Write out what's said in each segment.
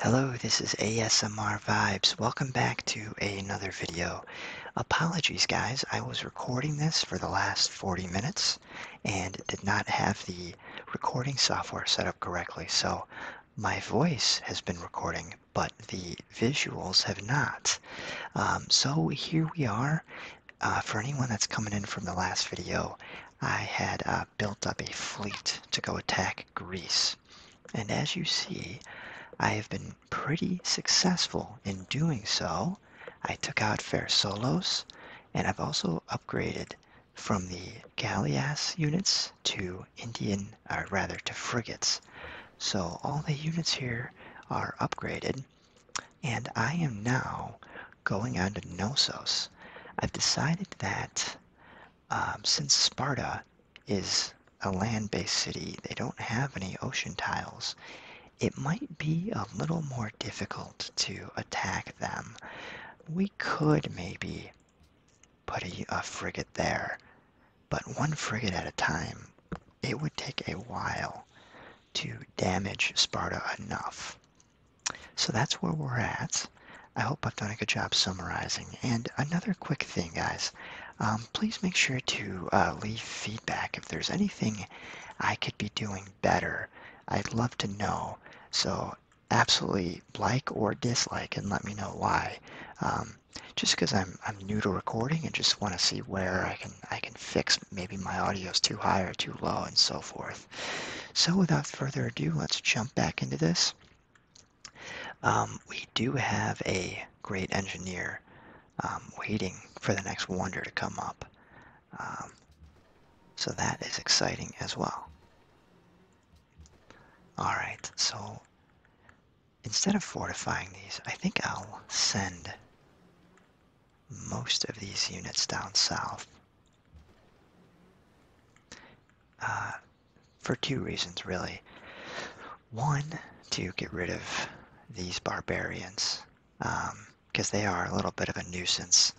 Hello, this is ASMR Vibes. Welcome back to another video. Apologies guys, I was recording this for the last 40 minutes and did not have the recording software set up correctly. So my voice has been recording, but the visuals have not. Um, so here we are. Uh, for anyone that's coming in from the last video, I had a uh, uh, built up a fleet to go attack Greece. And as you see, I have been pretty successful in doing so. I took out Phersolos, and I've also upgraded from the galleass units to Indian, or rather to frigates. So all the units here are upgraded, and I am now going on to Knossos. I've decided that um, since Sparta is a land-based city, they don't have any ocean tiles. It might be a little more difficult to attack them. We could maybe put a frigate there, but one frigate at a time. It would take a while to damage Sparta enough so that's where we're at. I hope I've done a good job summarizing. And another quick thing, guys, um, please make sure to uh, leave feedback if there's anything I could be doing better. I'd love to know. So absolutely like or dislike and let me know why. Um, just because I'm I'm new to recording and just want to see where I can I can fix maybe my audio is too high or too low and so forth. So without further ado, let's jump back into this. Um, we do have a great engineer um, waiting for the next wonder to come up. Um, so that is exciting as well. Alright, so instead of fortifying these, I think I'll send most of these units down south uh, for two reasons, really. One, to get rid of these barbarians, because um, they are a little bit of a nuisance.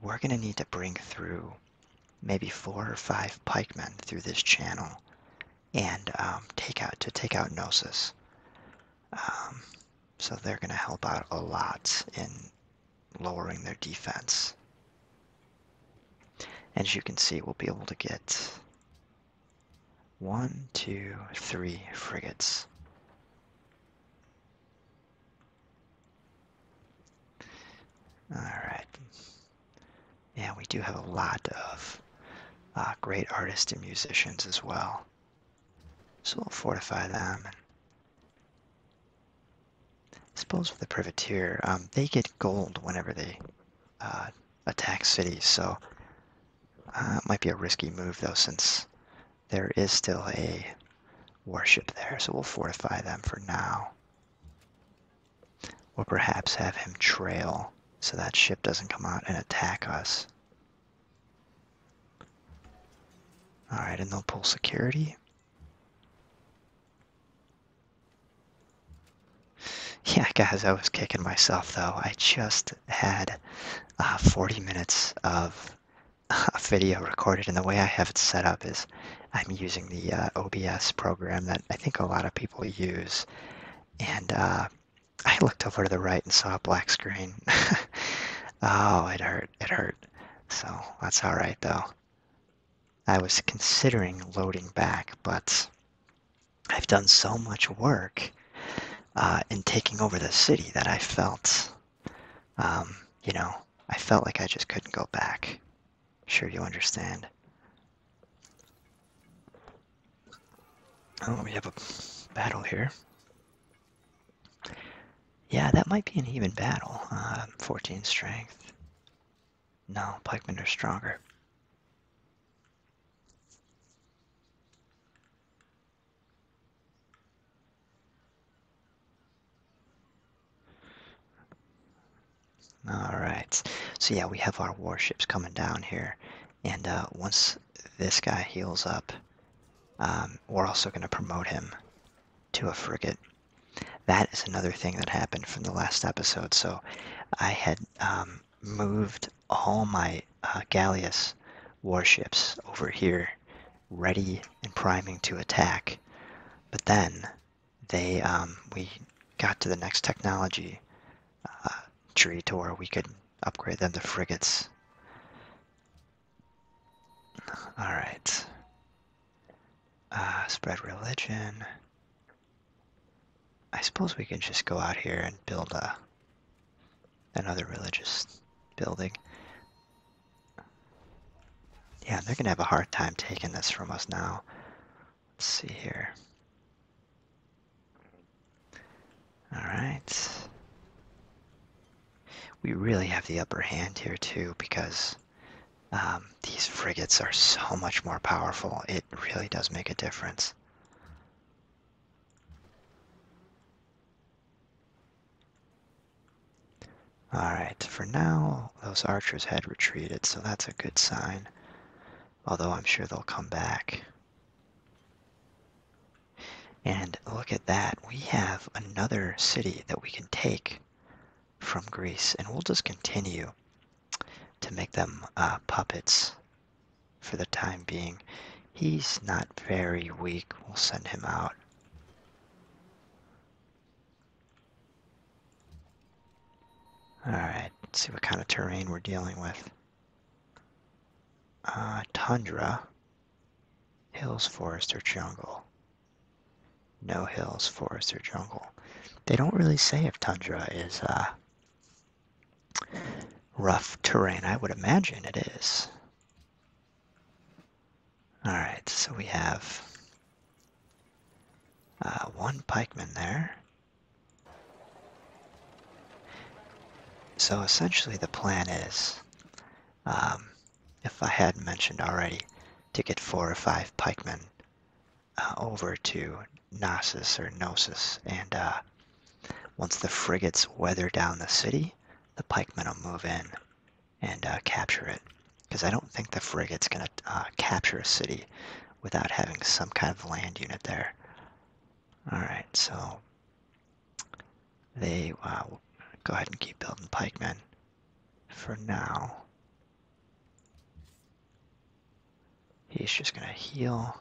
We're going to need to bring through maybe four or five pikemen through this channel and um, take out to take out Nosis. Um, so they're going to help out a lot in lowering their defense. As you can see, we'll be able to get one, two, three frigates. Alright. Yeah, we do have a lot of uh, great artists and musicians as well. So we'll fortify them and suppose with the privateer, um, they get gold whenever they uh, attack cities, so uh, it might be a risky move though, since there is still a warship there. So we'll fortify them for now, or perhaps have him trail so that ship doesn't come out and attack us. All right, and they'll pull security. Yeah, guys, I was kicking myself though. I just had uh, 40 minutes of video recorded, and the way I have it set up is I'm using the uh, OBS program that I think a lot of people use. And uh, I looked over to the right and saw a black screen. oh, it hurt. It hurt. So that's all right though. I was considering loading back, but I've done so much work uh, in taking over the city that I felt, um, you know, I felt like I just couldn't go back. Sure, you understand. Oh, we have a battle here. Yeah, that might be an even battle. Um, 14 strength. No, pikemen are stronger. All right. So yeah, we have our warships coming down here. And uh, once this guy heals up, um, we're also going to promote him to a frigate that is another thing that happened from the last episode. So I had um, moved all my uh, Gallius warships over here, ready and priming to attack. But then they um, we got to the next technology uh, tree to where we could upgrade them to frigates. All right. Uh, spread religion. I suppose we can just go out here and build a another religious building. Yeah, they're gonna have a hard time taking this from us now. Let's see here. Alright. We really have the upper hand here too because um, these frigates are so much more powerful. It really does make a difference. Alright, for now, those archers had retreated, so that's a good sign. Although I'm sure they'll come back. And look at that, we have another city that we can take from Greece, and we'll just continue to make them uh, puppets for the time being. He's not very weak. We'll send him out. Alright, see what kind of terrain we're dealing with. Uh, tundra, hills, forest, or jungle no hills, forest, or jungle. They don't really say if tundra is uh, rough terrain. I would imagine it is. All right, so we have uh, one pikeman there. So essentially, the plan is, um, if I hadn't mentioned already, to get four or five pikemen uh, over to Knossos or Gnosis, and uh, once the frigates weather down the city, the pikemen will move in and uh, capture it. Because I don't think the frigate's going to capture a city without having some kind of land unit there. Alright, so they uh, go ahead and keep building pikemen for now. He's just going to heal.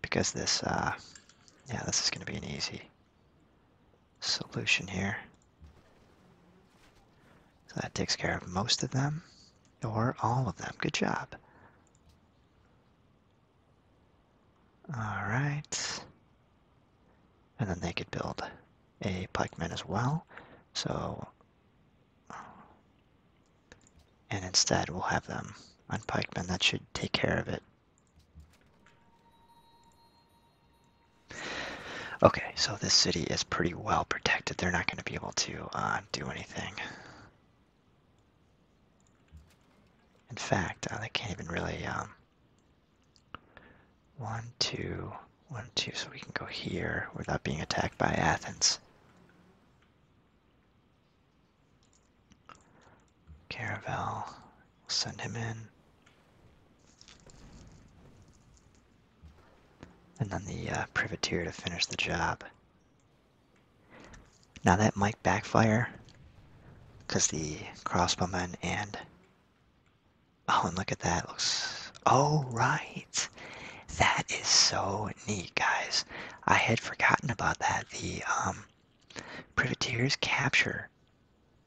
Because this, uh, yeah, this is going to be an easy solution here. So that takes care of most of them, or all of them. Good job. All right. And then they could build a pikeman as well. So and instead we'll have them on pikemen. That should take care of it. Okay, so this city is pretty well protected. They're not going to be able to uh, do anything. In fact, uh, they can't even really... Um, one, two, one, two, so we can go here without being attacked by Athens. Caravel, send him in. And then the uh, privateer to finish the job. Now that might backfire, because the crossbowmen and Oh, and look at that. looks. Oh, right. That is so neat, guys. I had forgotten about that. The um, privateers capture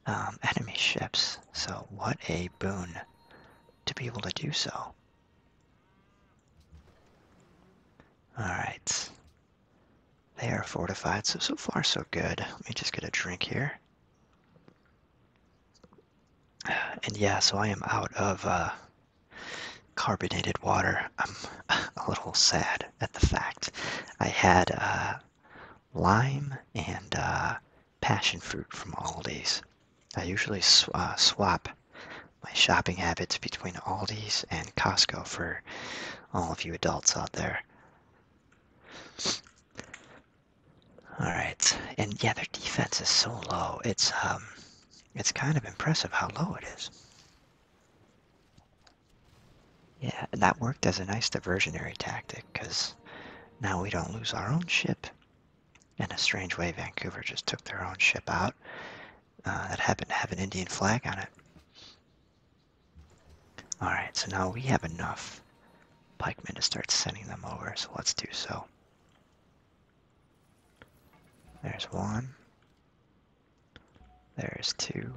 um, enemy ships. So, what a boon to be able to do so. Alright. They are fortified, so so far so good. Let me just get a drink here and yeah, so I am out of uh, carbonated water. I'm a little sad at the fact. I had uh, lime and uh, passion fruit from Aldi's. I usually swap my shopping habits between Aldi's and Costco for all of you adults out there. All right, and yeah, their defense is so low. It's um, it's kind of impressive how low it is. Yeah, and that worked as a nice diversionary tactic because now we don't lose our own ship. In a strange way, Vancouver just took their own ship out uh, that happened to have an Indian flag on it. All right, so now we have enough pikemen to start sending them over, so let's do so. There's one. There's two.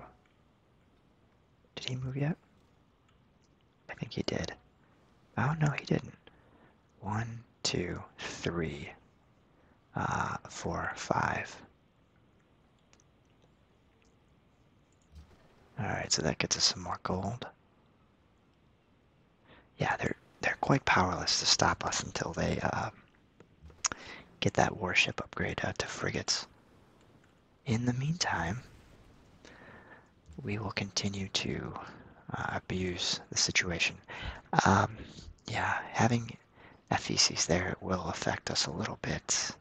Did he move yet? I think he did. Oh, no, he didn't. One, uh, four, five. Alright, so that gets us some more gold yeah, they're they're quite powerless to stop us until they uh, get that warship upgrade uh, to frigates. In the meantime, we will continue to uh, abuse the situation. Um, yeah, having FECs there will affect us a little bit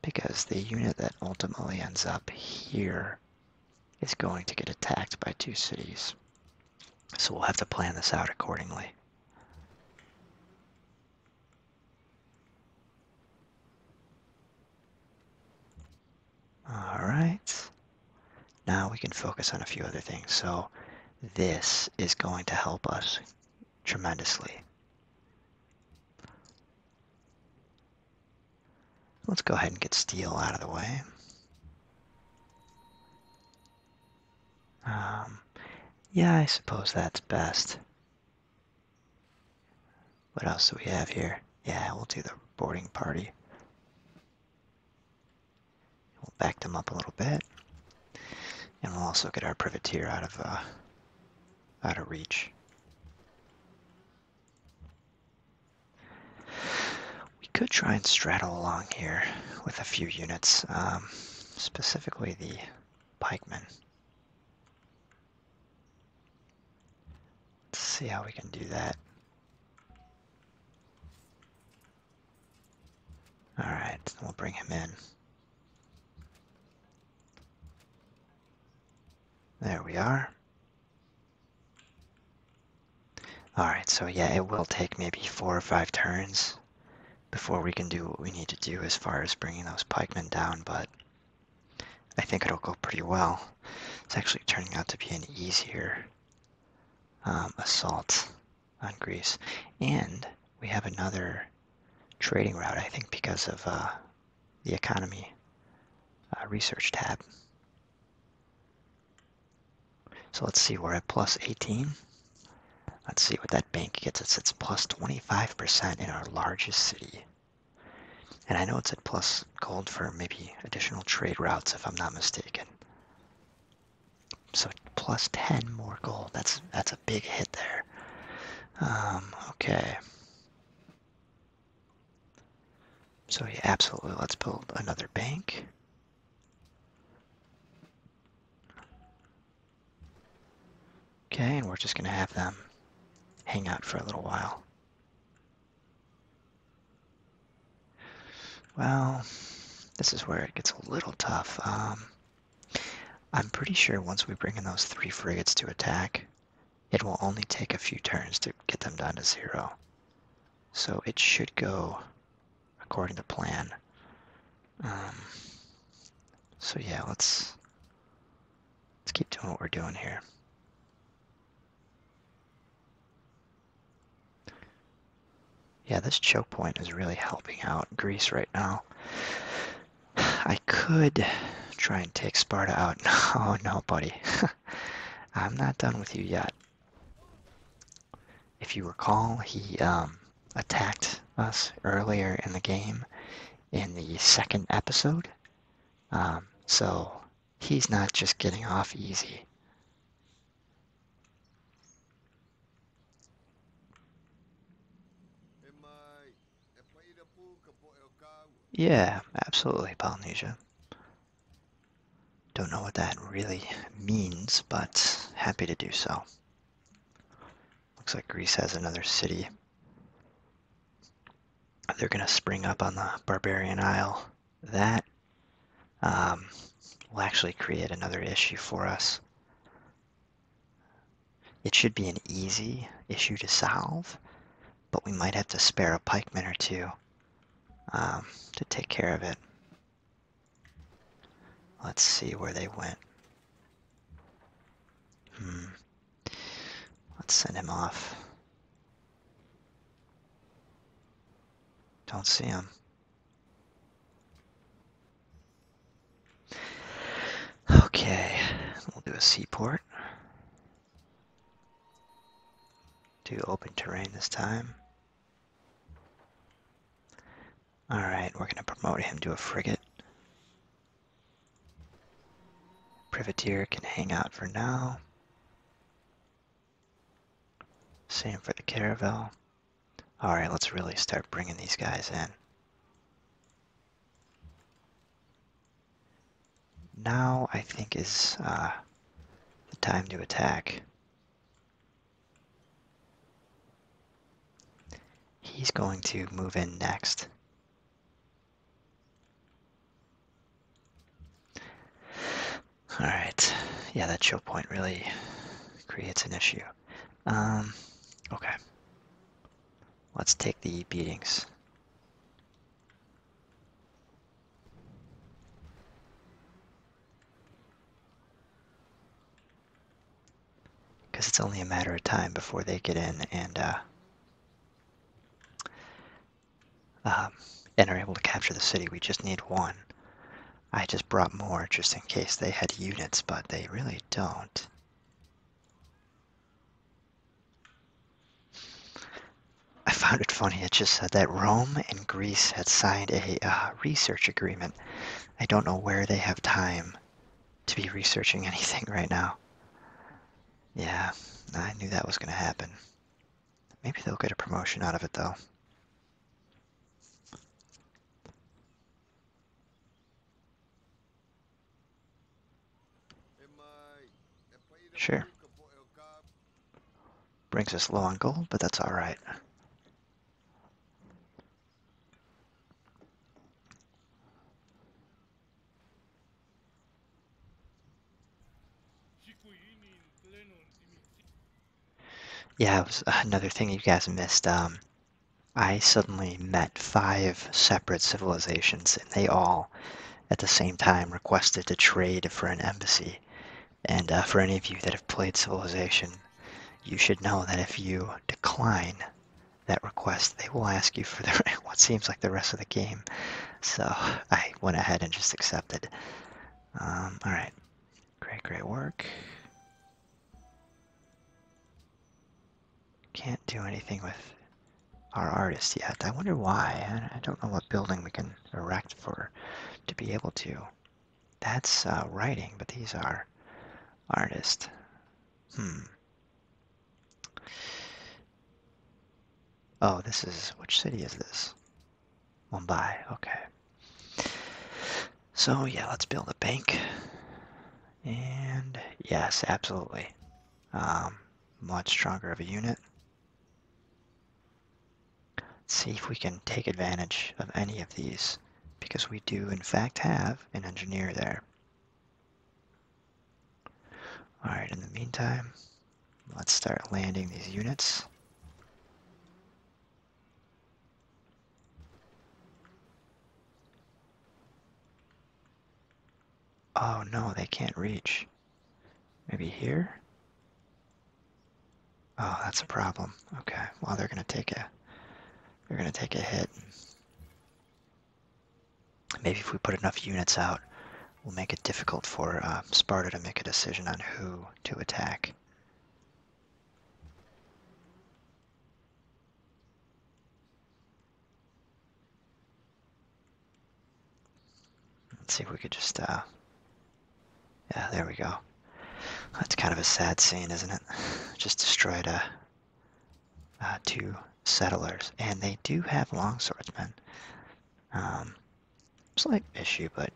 because the unit that ultimately ends up here it's going to get attacked by two cities. So we'll have to plan this out accordingly. All right. Now we can focus on a few other things. So this is going to help us tremendously. Let's go ahead and get steel out of the way. Um, yeah, I suppose that's best. What else do we have here? Yeah, we'll do the boarding party. We'll back them up a little bit. And we'll also get our privateer out of, uh, out of reach. We could try and straddle along here with a few units, um, specifically the pikemen. Let's see how we can do that. Alright, we'll bring him in. There we are. Alright, so yeah, it will take maybe four or five turns before we can do what we need to do as far as bringing those pikemen down, but I think it'll go pretty well. It's actually turning out to be an easier um, assault on Greece. And we have another trading route, I think, because of uh, the economy uh, research tab. So let's see, we're at plus 18. Let's see what that bank gets It's plus 25% in our largest city. And I know it's at plus gold for maybe additional trade routes, if I'm not mistaken. So plus 10 more gold. That's that's a big hit there. Um, okay. So yeah, absolutely. Let's build another bank. Okay, and we're just going to have them hang out for a little while. Well, this is where it gets a little tough. Um, I'm pretty sure once we bring in those three frigates to attack, it will only take a few turns to get them down to zero. So it should go according to plan. Um, so yeah, let's let's keep doing what we're doing here. Yeah, this choke point is really helping out Greece right now. I could try and take Sparta out. Oh no, buddy. I'm not done with you yet. If you recall, he um, attacked us earlier in the game in the second episode. Um, so he's not just getting off easy. Yeah, absolutely, Polynesia. Don't know what that really means, but happy to do so. Looks like Greece has another city. They're going to spring up on the Barbarian Isle. That um, will actually create another issue for us. It should be an easy issue to solve, but we might have to spare a pikeman or two um, to take care of it. Let's see where they went. Hmm. Let's send him off. Don't see him. Okay, we'll do a seaport. Do open terrain this time. All right, we're going to promote him to a frigate. Privateer can hang out for now. Same for the Caravel. All right, let's really start bringing these guys in. Now I think is uh, the time to attack. He's going to move in next. All right. Yeah, that chill point really creates an issue. Um, okay. Let's take the beatings. Because it's only a matter of time before they get in and uh, um, and are able to capture the city. We just need one. I just brought more just in case they had units, but they really don't. I found it funny. It just said that Rome and Greece had signed a uh, uh, research agreement. I don't know where they have time to be researching anything right now. Yeah, I knew that was going to happen. Maybe they'll get a promotion out of it, though. Sure. Brings us low on gold, but that's alright. Yeah, it was another thing you guys missed. Um, I suddenly met five separate civilizations, and they all, at the same time, requested to trade for an embassy. And uh, for any of you that have played Civilization, you should know that if you decline that request, they will ask you for what seems like the rest of the game. So I went ahead and just accepted. Um, all right, great, great work. Can't do anything with our artist yet. I wonder why. I don't know what building we can erect for to be able to. That's uh, writing, but these are artists. Hmm. Oh, this is which city is this? Mumbai. Okay. So yeah, let's build a bank. And yes, absolutely. Um, much stronger of a unit. Let's see if we can take advantage of any of these because we do in fact have an engineer there. All right, in the meantime, let's start landing these units. Oh no, they can't reach. Maybe here? Oh, that's a problem. Okay. Well, they're going to take a they're going to take a hit. Maybe if we put enough units out, we'll make it difficult for uh, Sparta to make a decision on who to attack. Let's see if we could just uh, yeah, there we go. That's kind of a sad scene, isn't it? Just destroyed uh, uh, two settlers, and they do have longswordsmen. Um, slight issue, but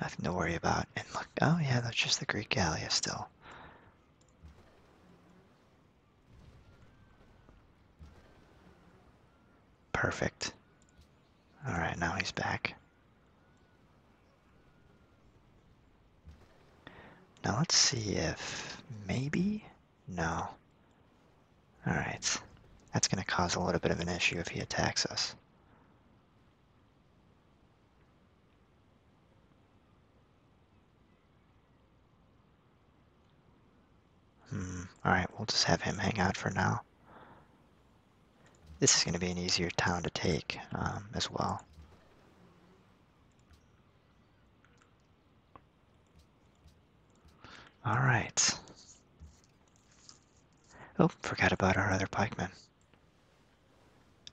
nothing to worry about. And look, oh yeah, that's just the Greek Gallia still. Perfect. Alright, now he's back. Now let's see if maybe, no. All right, that's gonna cause a little bit of an issue if he attacks us. Hmm, all right, we'll just have him hang out for now. This is going to be an easier town to take um, as well. All right. Oh, forgot about our other pikemen.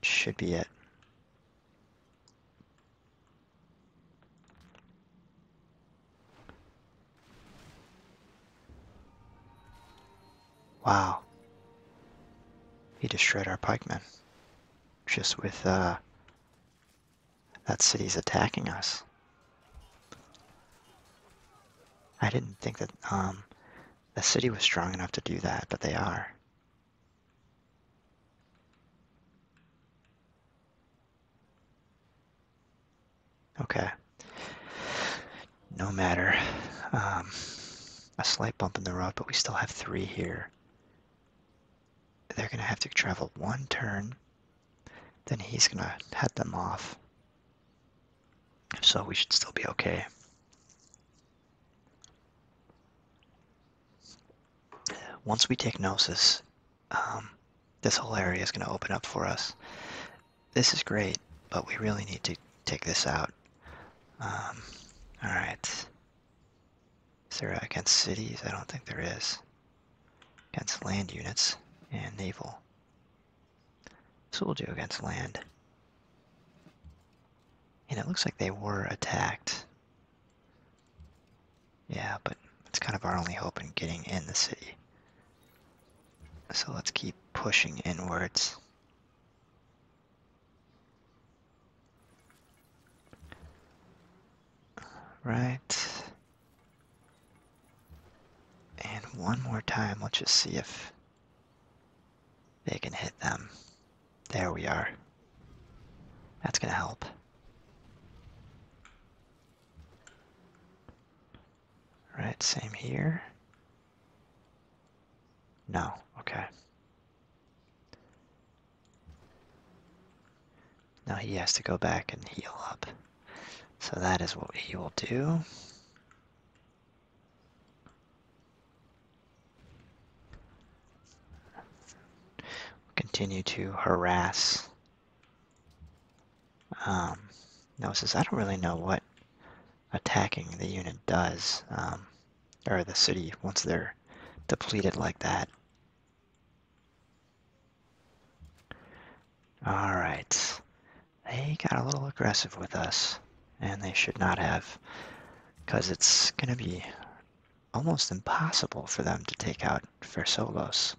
Should be it. Wow. He destroyed our pikemen. Just with uh, that city's attacking us. I didn't think that um, the city was strong enough to do that, but they are. Okay. No matter. Um, a slight bump in the road, but we still have three here. They're going to have to travel one turn, then he's going to head them off. So we should still be okay. Once we take Gnosis, um, this whole area is going to open up for us. This is great, but we really need to take this out um, all right. Is against cities? I don't think there is. Against land units and naval. So we'll do against land. And it looks like they were attacked. Yeah, but it's kind of our only hope in getting in the city. So let's keep pushing inwards. Right. And one more time, let's just see if they can hit them. There we are. That's gonna help. Right, same here. No, okay. Now he has to go back and heal up. So that is what he will do. Continue to harass. Um, says I don't really know what attacking the unit does. Um, or the city once they're depleted like that. All right. They got a little aggressive with us, and they should not have, because it's going to be almost impossible for them to take out Versolos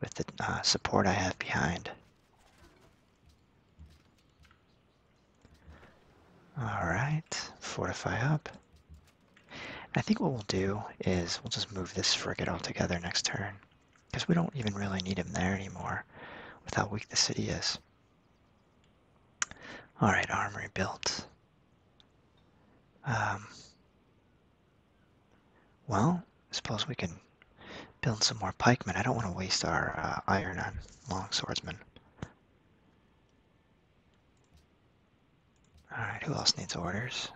with the uh, support I have behind. All right, fortify up. I think what we'll do is we'll just move this frigate altogether next turn because we don't even really need him there anymore with how weak the city is. All right, armory built. Um, well, I suppose we can build some more pikemen. I don't want to waste our uh, iron on longswordsmen. Alright, who else needs orders?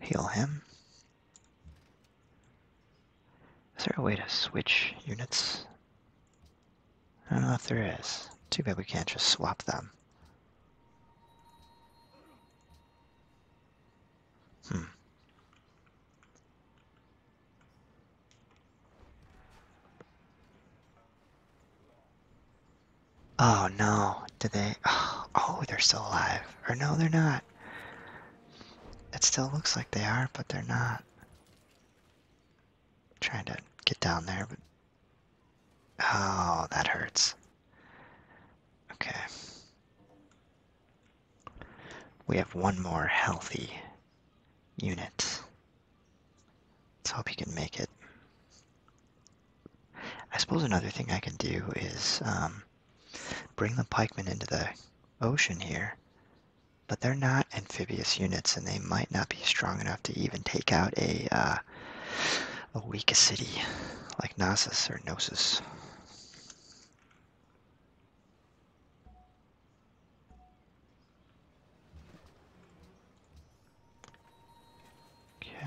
Heal him. Is there a way to switch units? I don't know if there is. Too bad we can't just swap them. Hmm. Oh no, did they? Oh, they're still alive. Or no, they're not. It still looks like they are, but they're not. trying to get down there, but. Oh, that hurts. Okay. We have one more healthy unit. Let's hope he can make it. I suppose another thing I can do is um, bring the pikemen into the ocean here, but they're not amphibious units, and they might not be strong enough to even take out a uh, weaker city like Gnosis or Gnosis. Okay.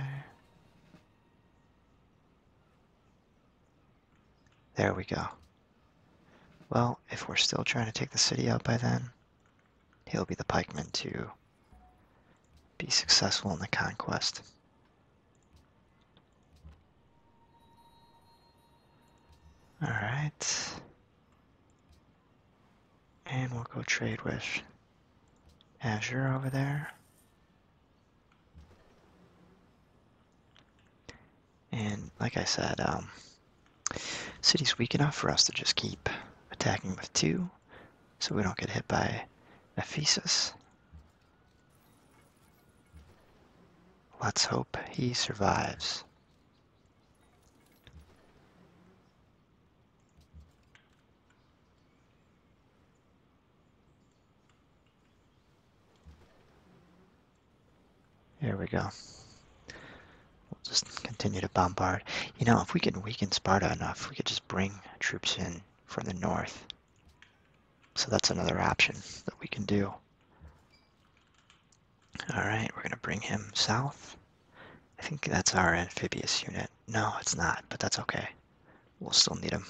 There we go. Well, if we're still trying to take the city out by then, he'll be the pikeman to be successful in the conquest. Alright. And we'll go trade with Azure over there. And like I said, um, city's weak enough for us to just keep attacking with two so we don't get hit by Ephesus. Let's hope he survives. Here we go. We'll just continue to bombard. You know, if we can weaken Sparta enough, we could just bring troops in from the north. So that's another option that we can do. All right, we're gonna bring him south. I think that's our amphibious unit. No, it's not, but that's okay. We'll still need him.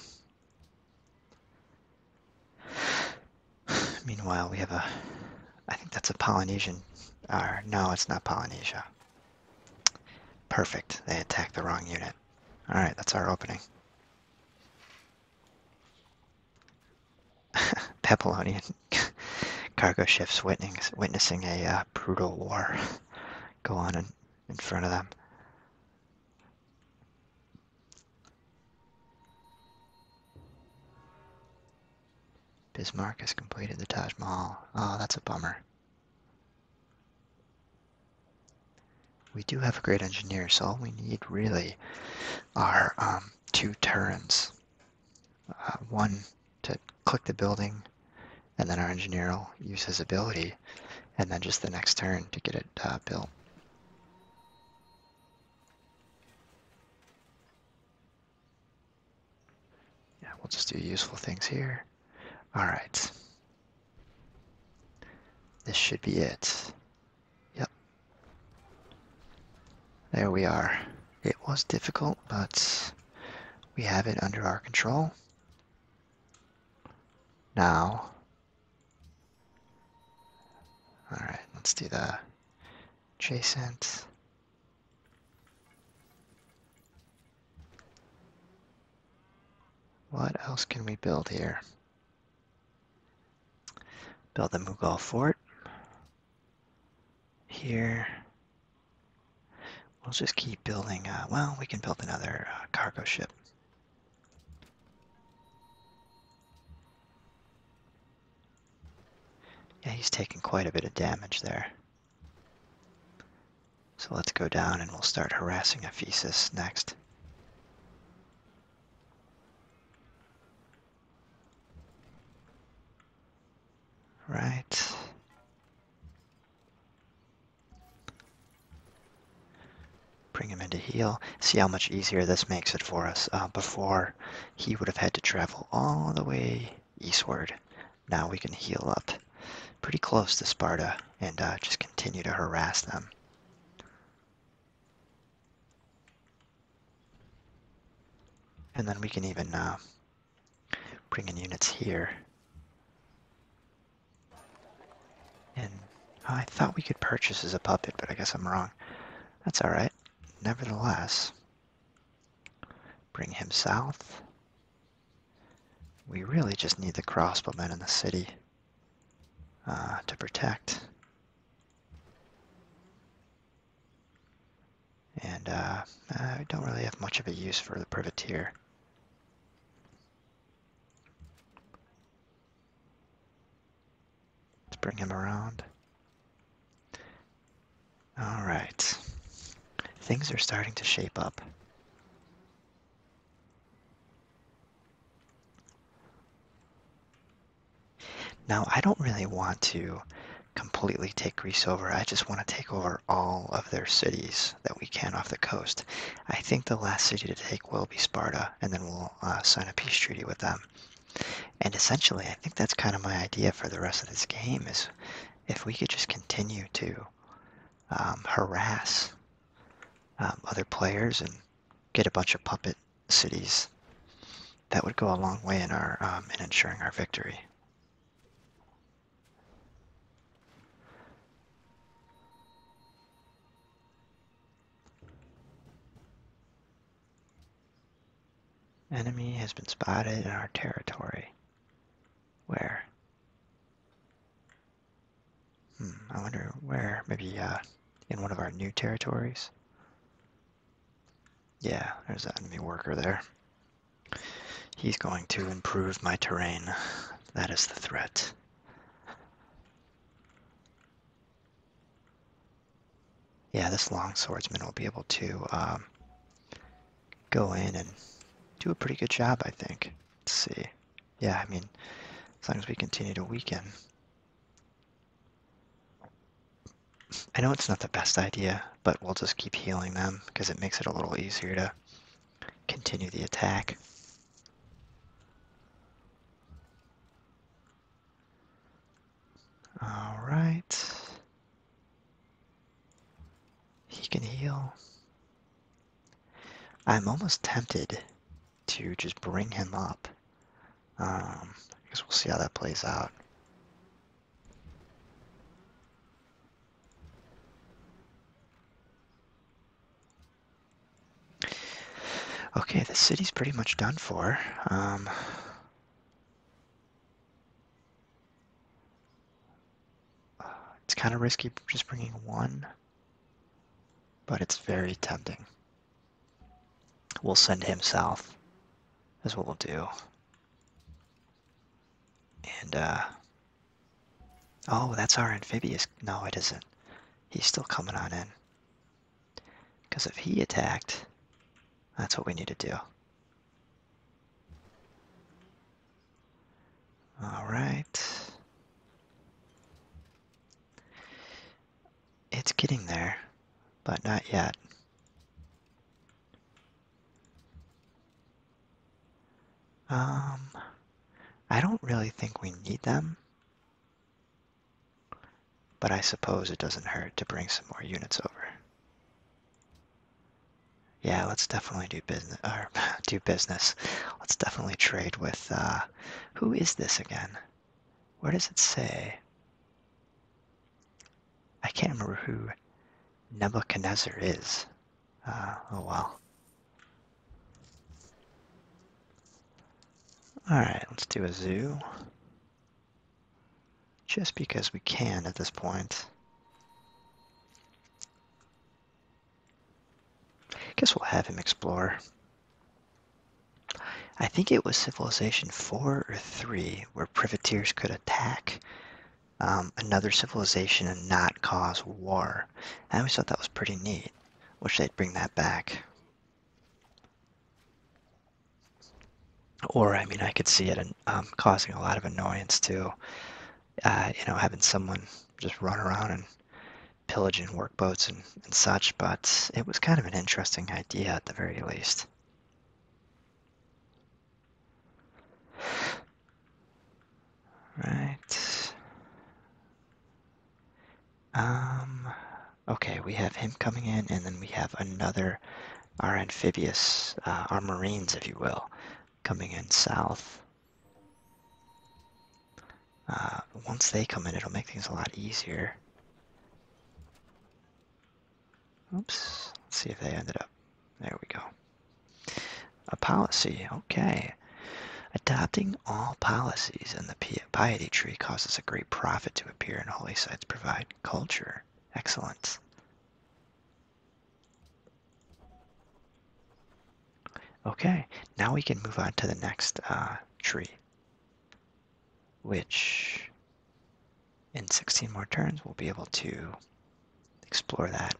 Meanwhile, we have a, I think that's a Polynesian, or no, it's not Polynesia. Perfect, they attacked the wrong unit. All right, that's our opening. Babylonian cargo ships witness, witnessing a uh, brutal war go on in, in front of them. Bismarck has completed the Taj Mahal. Oh, that's a bummer. We do have a great engineer, so all we need really are um, two turns. Uh, one to click the building, and then our engineer will use his ability, and then just the next turn to get it uh, built. Yeah, we'll just do useful things here. All right. This should be it. Yep. There we are. It was difficult, but we have it under our control. Now, all right, let's do the adjacent. What else can we build here? Build the Mughal fort here. We'll just keep building, uh, well, we can build another uh, cargo ship. Yeah, he's taking quite a bit of damage there. So let's go down and we'll start harassing Ephesus next. Right. Bring him into heal. See how much easier this makes it for us. Uh, before, he would have had to travel all the way eastward. Now we can heal up pretty close to Sparta and uh, just continue to harass them. And then we can even uh, bring in units here. And I thought we could purchase as a puppet, but I guess I'm wrong. That's alright. Nevertheless, bring him south. We really just need the crossbowmen in the city uh, to protect and uh, I don't really have much of a use for the privateer. Let's bring him around. All right, things are starting to shape up. Now, I don't really want to completely take Greece over. I just want to take over all of their cities that we can off the coast. I think the last city to take will be Sparta, and then we'll uh, sign a peace treaty with them. And essentially, I think that's kind of my idea for the rest of this game is if we could just continue to um, harass um, other players and get a bunch of puppet cities, that would go a long way in our um, in ensuring our victory. Enemy has been spotted in our territory. Where? Hmm, I wonder where. Maybe uh, in one of our new territories? Yeah, there's that enemy worker there. He's going to improve my terrain. That is the threat. Yeah, this long swordsman will be able to um, go in and do a pretty good job, I think. Let's see. Yeah, I mean, as long as we continue to weaken. I know it's not the best idea, but we'll just keep healing them because it makes it a little easier to continue the attack. All right. He can heal. I'm almost tempted to just bring him up. Um, I guess we'll see how that plays out. Okay, the city's pretty much done for. Um, it's kind of risky just bringing one, but it's very tempting. We'll send him south, That's what we'll do. And, uh, oh, that's our amphibious. No, it isn't. He's still coming on in. Because if he attacked, that's what we need to do. All right. It's getting there, but not yet. Um, I don't really think we need them. But I suppose it doesn't hurt to bring some more units over. Yeah, let's definitely do business. Let's definitely trade with. Uh, who is this again? Where does it say? I can't remember who Nebuchadnezzar is. Uh, oh well. Alright, let's do a zoo. Just because we can at this point. Guess we'll have him explore. I think it was Civilization 4 or 3 where privateers could attack um, another civilization and not cause war. I always thought that was pretty neat. Wish they'd bring that back. Or, I mean, I could see it um, causing a lot of annoyance too. Uh, you know, having someone just run around and pillaging work boats and such, but it was kind of an interesting idea at the very least. Right. Um, okay, we have him coming in, and then we have another, our amphibious, uh, our marines, if you will, coming in south. Uh, once they come in, it'll make things a lot easier. Oops, let's see if they ended up. There we go. A policy, okay. Adopting all policies in the piety tree causes a great profit to appear and holy sites provide culture. Excellence. Okay, now we can move on to the next uh, tree, which in 16 more turns we'll be able to explore that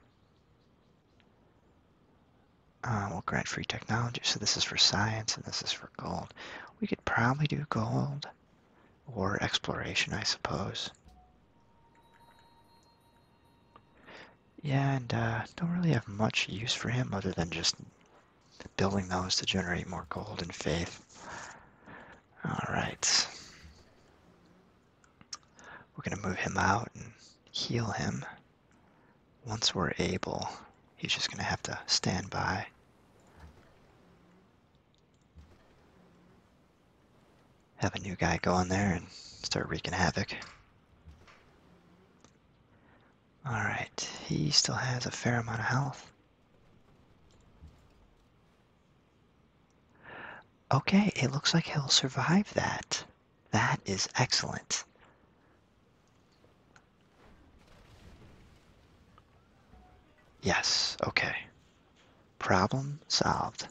um, grant free technology. So this is for science and this is for gold. We could probably do gold or exploration, I suppose. Yeah, and uh, don't really have much use for him other than just building those to generate more gold and faith. All right. We're going to move him out and heal him. Once we're able, he's just going to have to stand by. Have a new guy go in there and start wreaking havoc. Alright, he still has a fair amount of health. Okay, it looks like he'll survive that. That is excellent. Yes, okay. Problem solved.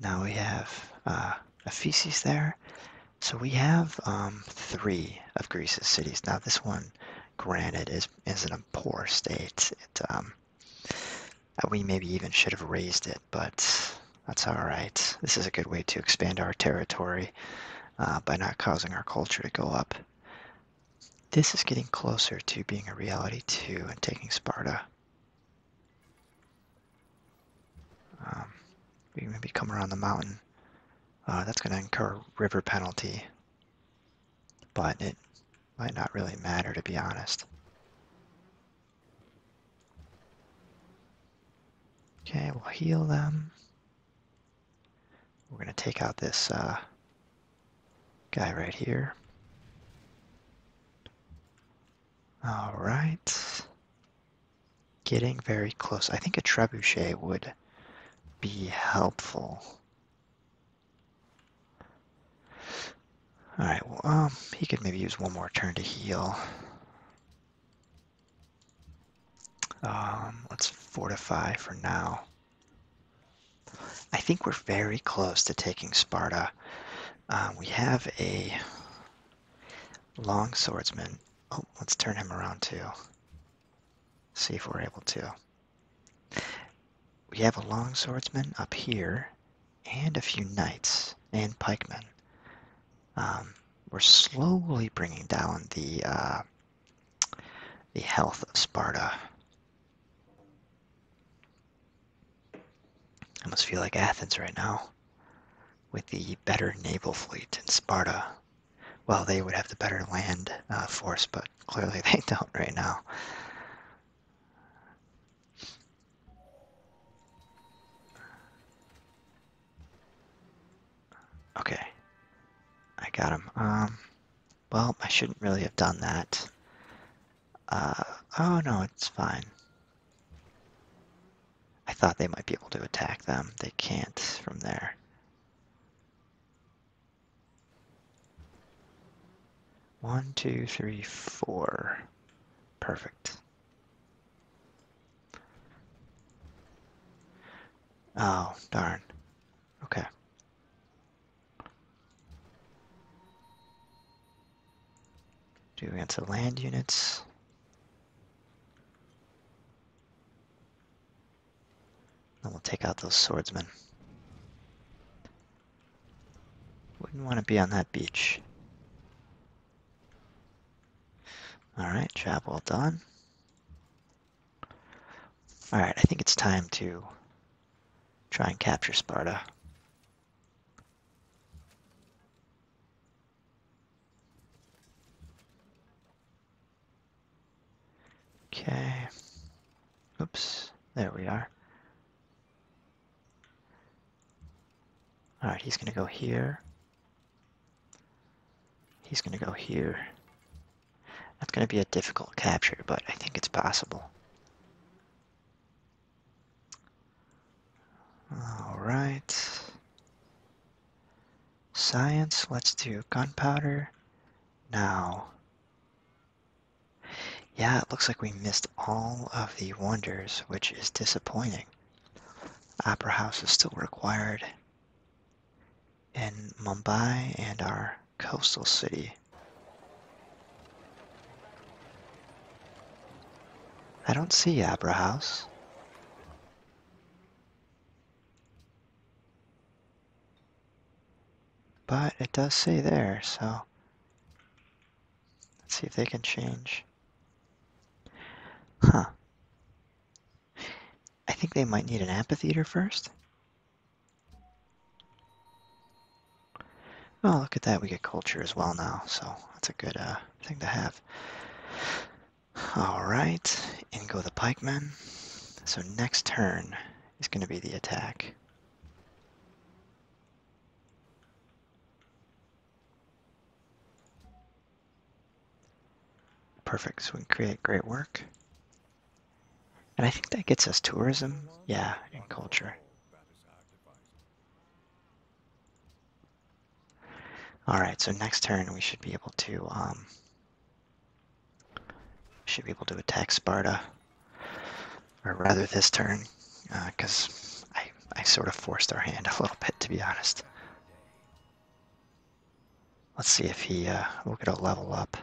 Now we have uh, a feces there. So we have um, three of Greece's cities. Now this one, granted, is, is in a poor state. It, um, we maybe even should have raised it, but that's all right. This is a good way to expand our territory uh, by not causing our culture to go up. This is getting closer to being a reality too and taking Sparta. Um, we can maybe come around the mountain. Uh, that's going to incur river penalty, but it might not really matter, to be honest. Okay, we'll heal them. We're going to take out this uh, guy right here. All right. Getting very close. I think a trebuchet would be helpful. Alright, well, um, he could maybe use one more turn to heal. Um, let's fortify for now. I think we're very close to taking Sparta. Uh, we have a long swordsman. Oh, let's turn him around too. See if we're able to. We have a longswordsman up here and a few knights and pikemen. Um, we're slowly bringing down the uh, the health of Sparta. I must feel like Athens right now with the better naval fleet in Sparta. Well, they would have the better land uh, force, but clearly they don't right now. Okay. I got him. Um, well, I shouldn't really have done that. Uh, oh no, it's fine. I thought they might be able to attack them. They can't from there. One, two, three, four. Perfect. Oh, darn. Okay. Do to land units. Then we'll take out those swordsmen. Wouldn't want to be on that beach. Alright, job well done. Alright, I think it's time to try and capture Sparta. Okay. Oops, there we are. Alright, he's gonna go here. He's gonna go here. That's gonna be a difficult capture, but I think it's possible. Alright. Science, let's do gunpowder. Now, yeah, it looks like we missed all of the wonders, which is disappointing. Opera House is still required in Mumbai and our coastal city. I don't see Opera House. But it does say there, so let's see if they can change. Huh. I think they might need an amphitheater first. Oh, look at that. We get culture as well now, so that's a good uh, thing to have. All right, in go the pikemen. So next turn is going to be the attack. Perfect, so we can create great work. And I think that gets us tourism, yeah, and culture. All right, so next turn we should be able to um, should be able to attack Sparta or rather this turn, because uh, I, I sort of forced our hand a little bit, to be honest. Let's see if he uh, will get a level up.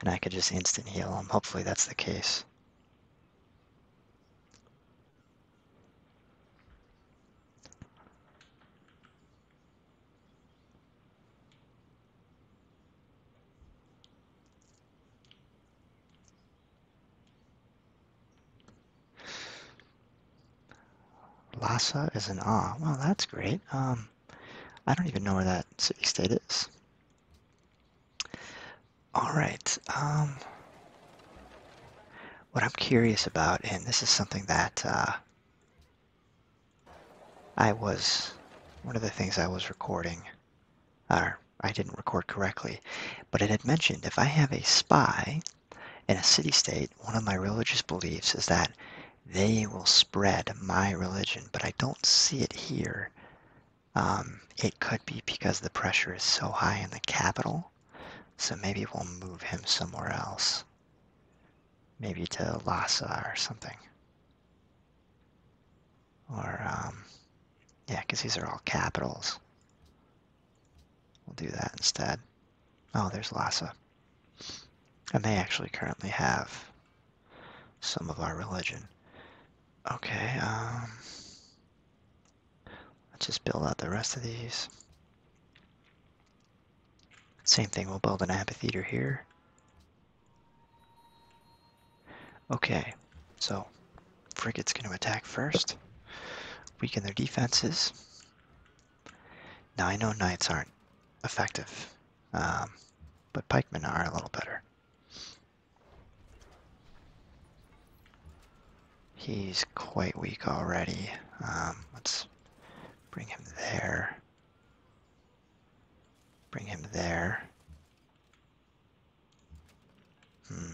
And I could just instant heal him. Hopefully that's the case. Lhasa is an ah. Well, that's great. Um, I don't even know where that city state is. All right. Um, what I'm curious about, and this is something that uh, I was, one of the things I was recording or I didn't record correctly, but it had mentioned if I have a spy in a city state, one of my religious beliefs is that they will spread my religion, but I don't see it here. Um, it could be because the pressure is so high in the capital, so maybe we'll move him somewhere else. Maybe to Lhasa or something. Or, um, yeah, because these are all capitals. We'll do that instead. Oh, there's Lhasa. And they actually currently have some of our religion. Okay, um, let's just build out the rest of these. Same thing, we'll build an amphitheater here. Okay, so Frigate's going to attack first. Weaken their defenses. Now oh I know knights aren't effective, um, but pikemen are a little better. He's quite weak already. Um, let's bring him there. Bring him there. Hmm.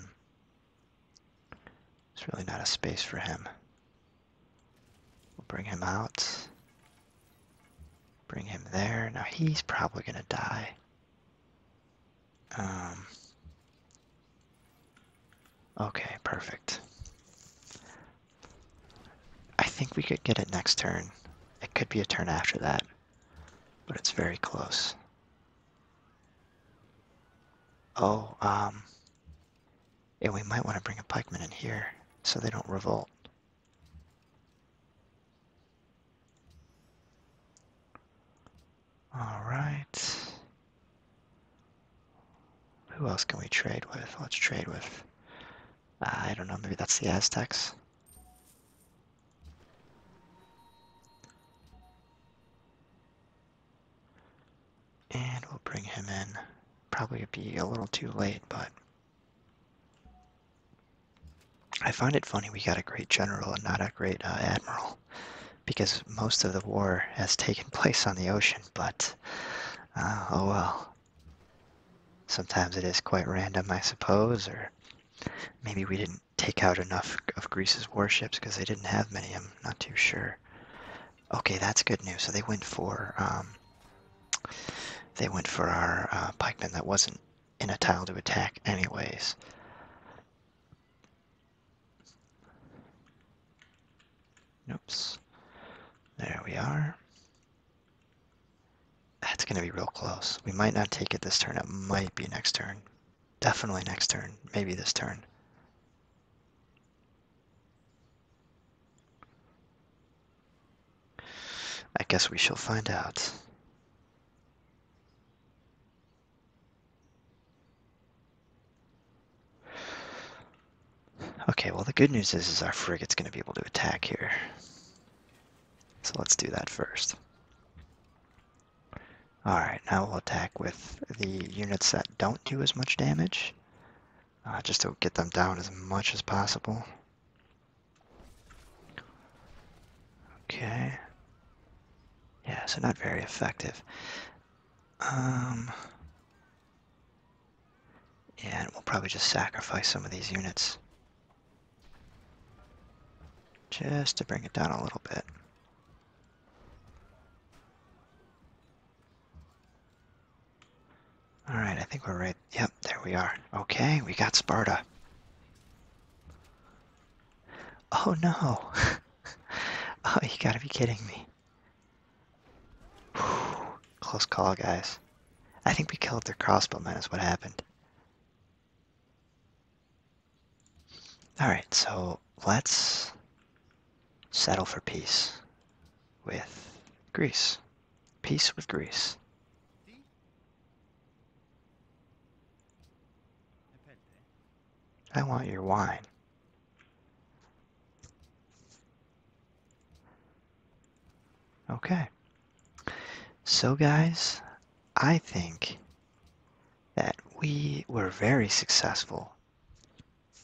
It's really not a space for him. We'll bring him out. Bring him there. Now he's probably gonna die. Um. Okay, perfect. I think we could get it next turn. It could be a turn after that, but it's very close. Oh, um, and we might want to bring a pikeman in here so they don't revolt. All right. Who else can we trade with? Let's trade with, uh, I don't know, maybe that's the Aztecs. And we'll bring him in. Probably be a little too late, but I find it funny we got a great general and not a great uh, admiral, because most of the war has taken place on the ocean, but uh, oh well. Sometimes it is quite random, I suppose, or maybe we didn't take out enough of Greece's warships because they didn't have many. I'm not too sure. Okay, that's good news. So they went for um, they went for our uh, pikemen that wasn't in a tile to attack, anyways. Oops. There we are. That's going to be real close. We might not take it this turn. It might be next turn, Definitely next turn. Maybe this turn. I guess we shall find out. Okay, well the good news is, is our frigate's going to be able to attack here. So let's do that first. Alright, now we'll attack with the units that don't do as much damage. Uh, just to get them down as much as possible. Okay. Yeah, so not very effective. Um, and we'll probably just sacrifice some of these units. Just to bring it down a little bit. All right, I think we're right. Yep, there we are. Okay, we got Sparta. Oh no. oh, you gotta be kidding me. Close call, guys. I think we killed their crossbowmen is what happened. All right, so let's settle for peace with Greece. Peace with Greece. I want your wine. Okay. So guys, I think that we were very successful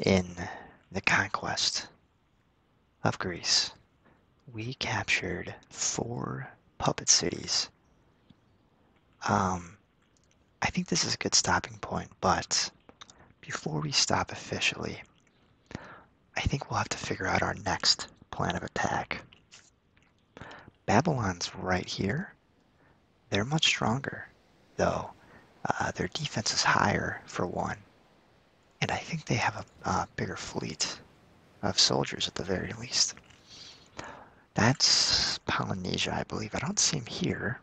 in the conquest of Greece. We captured four puppet cities. Um, I think this is a good stopping point, but before we stop officially, I think we'll have to figure out our next plan of attack. Babylon's right here. They're much stronger, though. Uh, their defense is higher, for one. And I think they have a bigger fleet of soldiers at the very least. That's Polynesia, I believe. I don't seem here.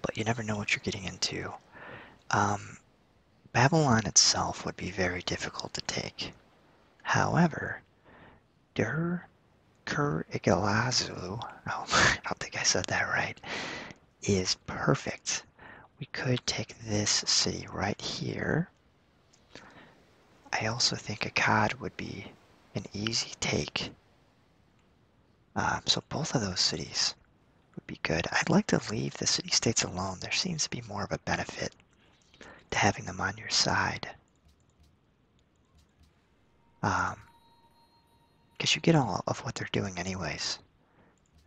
But you never know what you're getting into. Um, Babylon itself would be very difficult to take. However, Der Kurigilazu, oh, I don't think I said that right, is perfect. We could take this city right here. I also think Akkad would be an easy take. Um, so both of those cities would be good. I'd like to leave the city-states alone. There seems to be more of a benefit to having them on your side. Um, because you get all of what they're doing anyways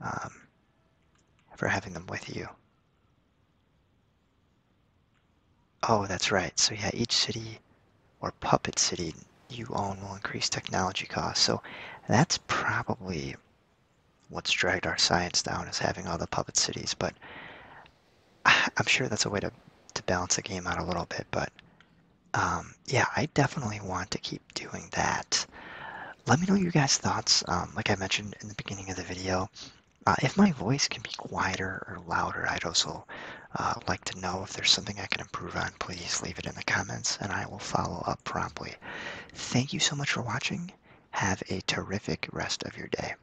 um, for having them with you. Oh, that's right. So yeah, each city or puppet city you own will increase technology costs. So that's probably what's dragged our science down is having all the puppet cities. But I'm sure that's a way to to balance a game out a little bit, but um, yeah, I definitely want to keep doing that. Let me know your guys' thoughts. Um, like I mentioned in the beginning of the video, uh, if my voice can be quieter or louder, I'd also uh, like to know if there's something I can improve on. Please leave it in the comments, and I will follow up promptly. Thank you so much for watching. Have a terrific rest of your day.